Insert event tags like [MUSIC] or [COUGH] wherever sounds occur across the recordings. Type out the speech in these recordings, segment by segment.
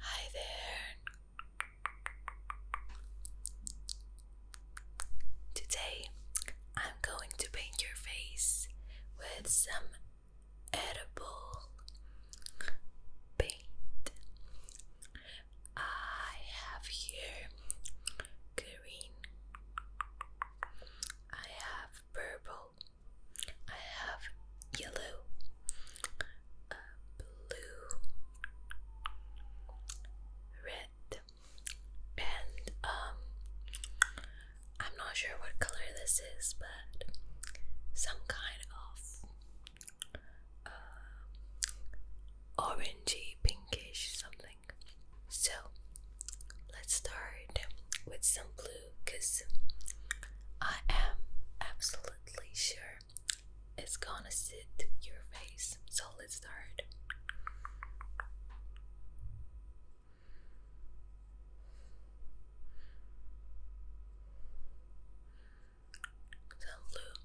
Hi there. Today I'm going to paint your face with some edible paint. I have here green. I have purple. I have yellow, uh, blue, red, and um, I'm not sure what color this is, but some kind of uh, orangey, pinkish something. So let's start with some blue because I am absolutely sure it's gonna sit your face. So let's start. The blue.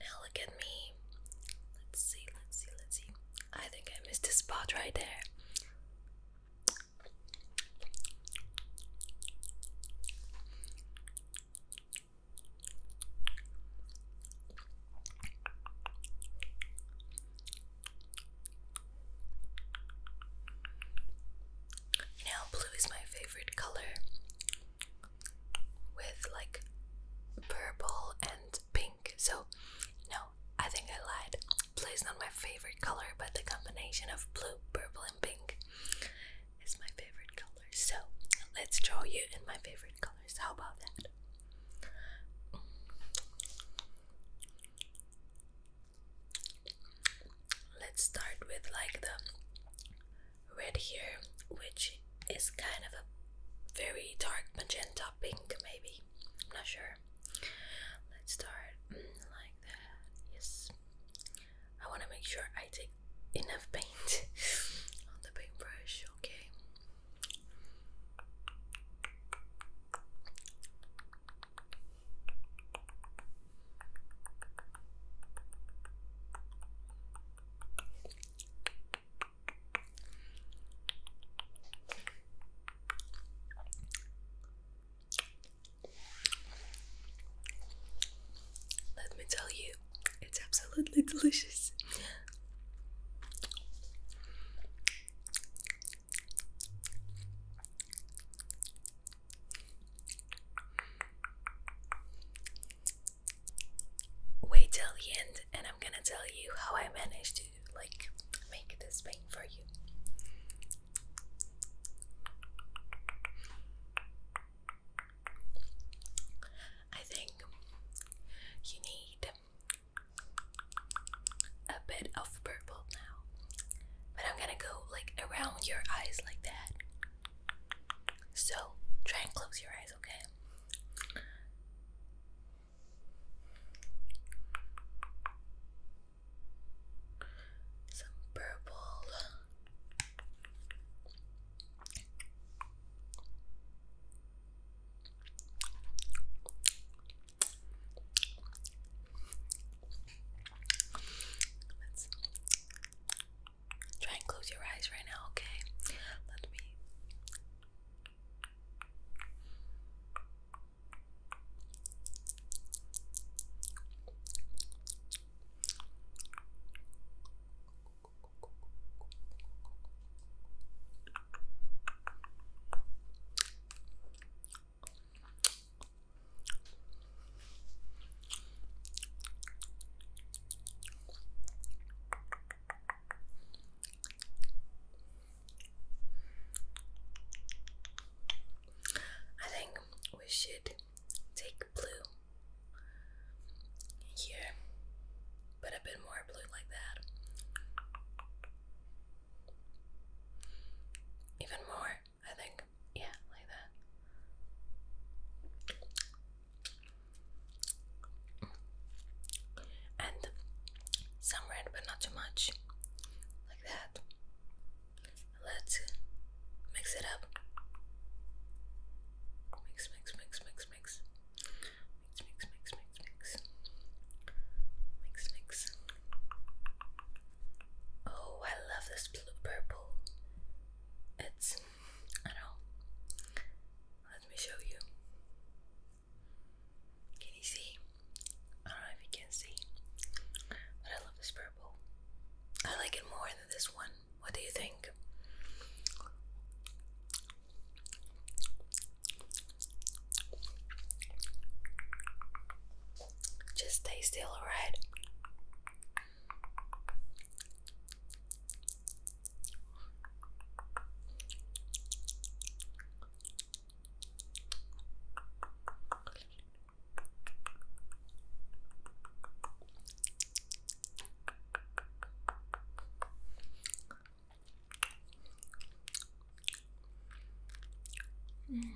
Now look at me. Let's see, let's see, let's see. I think I missed a spot right there. You blue is my favorite color with like purple and pink. So, no, I think I lied. Blue is not my favorite color, but the combination of blue, purple, and pink is my favorite color. So, let's draw you in my favorite colors. How about that? Let's start with like the red here, which is kind of a very dark magenta pink, maybe. I'm not sure. Let's start like that. I want to make sure I take enough paint [LAUGHS] on the paintbrush, okay? Let me tell you, it's absolutely delicious. Wait till the end, and I'm gonna tell you how I managed to like make this paint for you. I think you need a bit of purple now. But I'm gonna go like around your eyes like that. So try and close your eyes, okay? Some purple try and close your eyes right now, okay? Let me. I think we should take blue here, but a bit more blue like that. Even more, I think. Yeah, like that. And some red, but not too much. Like that. Let's mix it up. Mix, mix, mix, mix, mix mix, mix, mix, mix, mix, mix. Oh, I love this blue purple. It's I don't know. Let me show you. Can you see? I don't know if you can see, but I love this purple. I like it more than this one. What do you think? Just stay still, alright? Mm.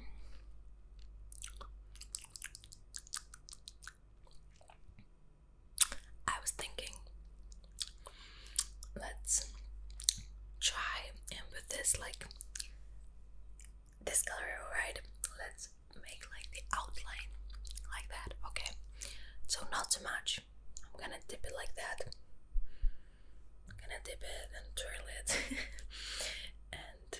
I was thinking, let's try and with this, like this color, right? Let's make like the outline like that, okay? So, not so much I'm gonna dip it like that. I'm gonna dip it and twirl it. [LAUGHS] and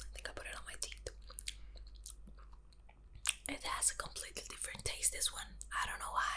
I think I put it on my teeth. It has a completely different taste, this one. I don't know why.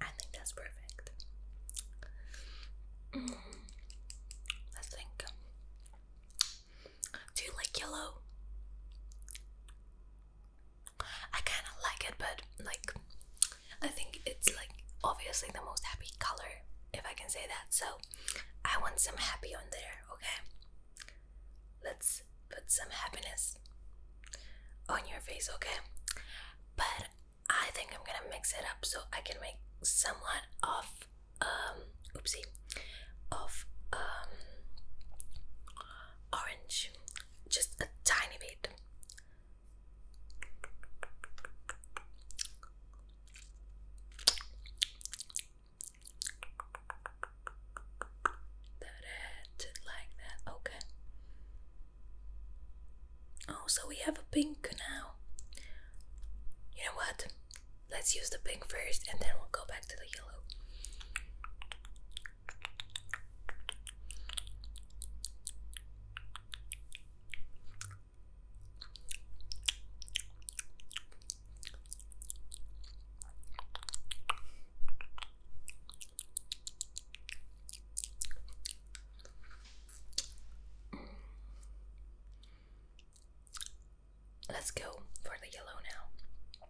I think that's perfect. Mm. think. Do you like yellow? I kind of like it, but like, I think it's like obviously the most happy color, if I can say that. So, I want some happy on there, okay? let's put some happiness on your face, okay? But I think I'm gonna mix it up so I can make somewhat of um oopsie of um orange just a tiny bit that it like that. Okay. Oh, so we have a pink now. You know what? Let's use the pink first and then we'll go back to the yellow. Let's go for the yellow now.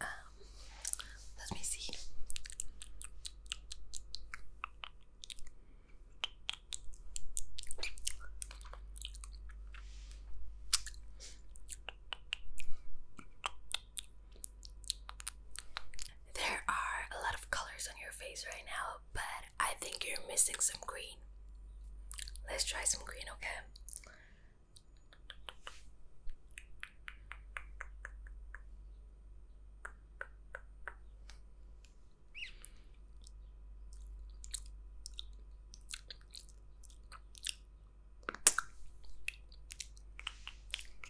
Um, let me see. There are a lot of colors on your face right now, but I think you're missing some green. Let's try some green, okay?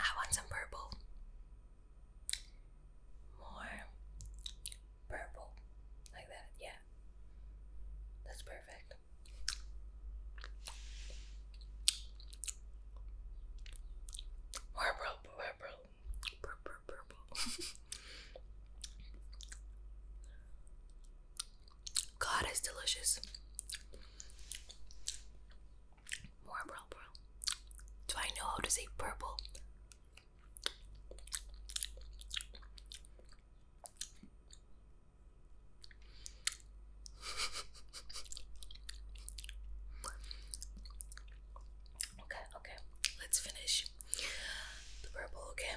I want some purple. More purple. Like that, yeah. That's perfect. More purple, purple, purple, purple. [LAUGHS] God is delicious. More purple. Do I know how to say purple? [LAUGHS] okay, okay. Let's finish the purple, okay?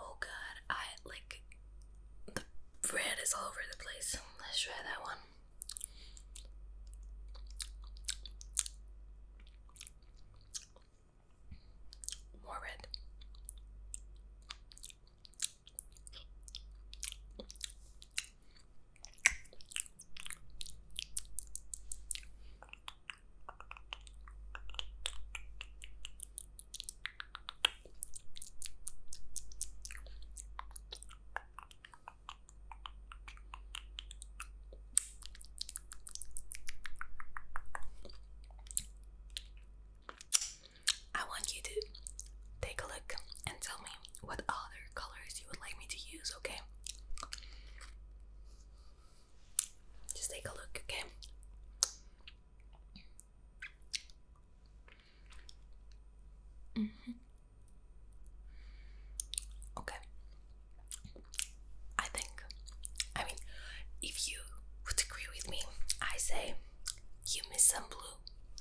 Oh god, I like the red is all over the place. Let's try that one. More red. I want you to take a look and tell me what other colors you would like me to use, okay? Just take a look, okay? Mm-hmm. Okay. I think, I mean, if you would agree with me, I say you miss some blue.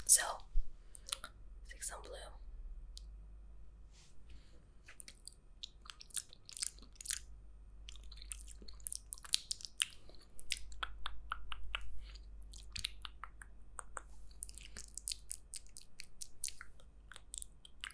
So, take some blue.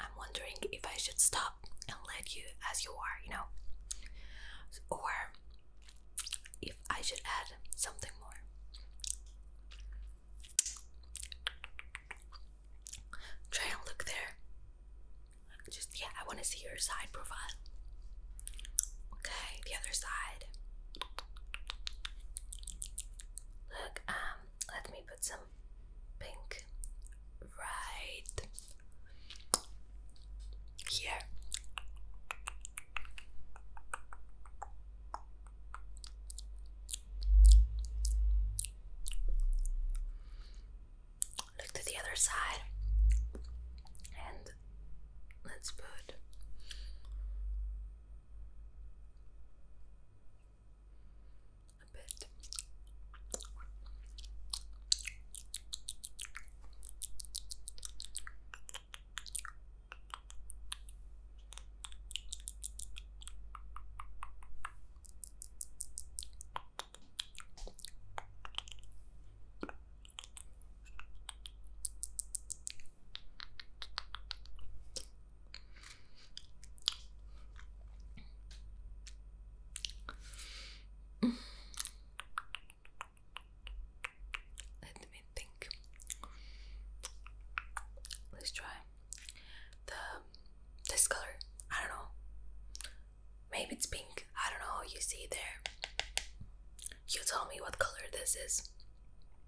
I'm wondering if I should stop and let you as you are, you know, or if I should add something more. Try and look there. Just, yeah, I want to see your side profile. Okay, the other side. Look, um, let me put some pink right here. Look to the other side and let's put a bit. Let me think. Let's try the this color. I don't know. Maybe it's pink. I don't know. You see there. You tell me what color this is.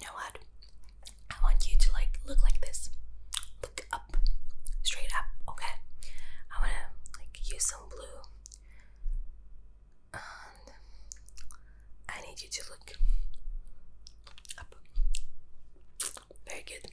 You know what? I want you to like look like this. Look up, straight up, okay? I want to like use some blue I need you to look up. Very good.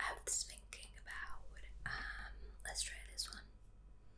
I was thinking about um let's try this one.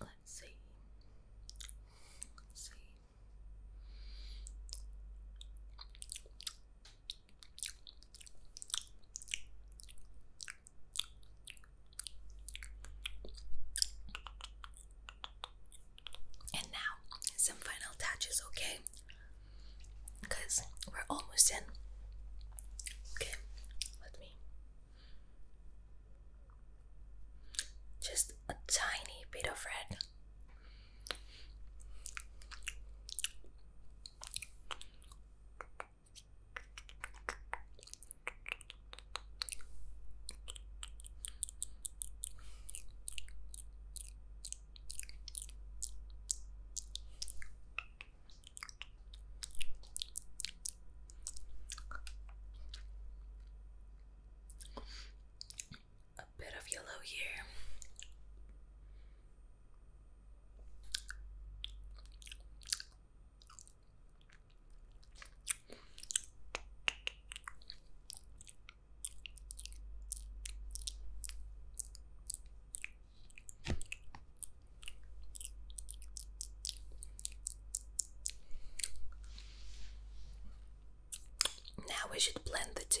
Let's see. Let's see. And now, some final touches, okay? Because we're almost in. Okay, let me. Just a tiny bit of red. A bit of yellow here. Now we should blend the two.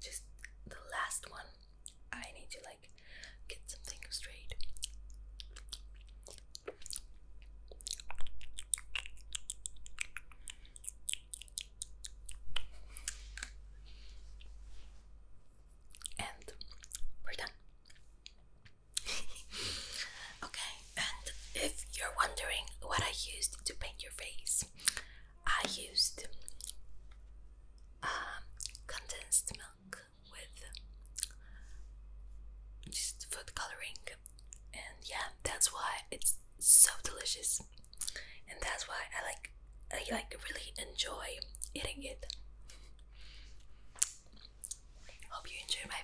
just the last one. I need to like get something straight. And we're done. [LAUGHS] okay, and if you're wondering what I used to paint your face, I used um, condensed milk with just food coloring, and yeah, that's why it's so delicious, and that's why I like I like really enjoy eating it. Hope you enjoy my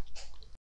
video.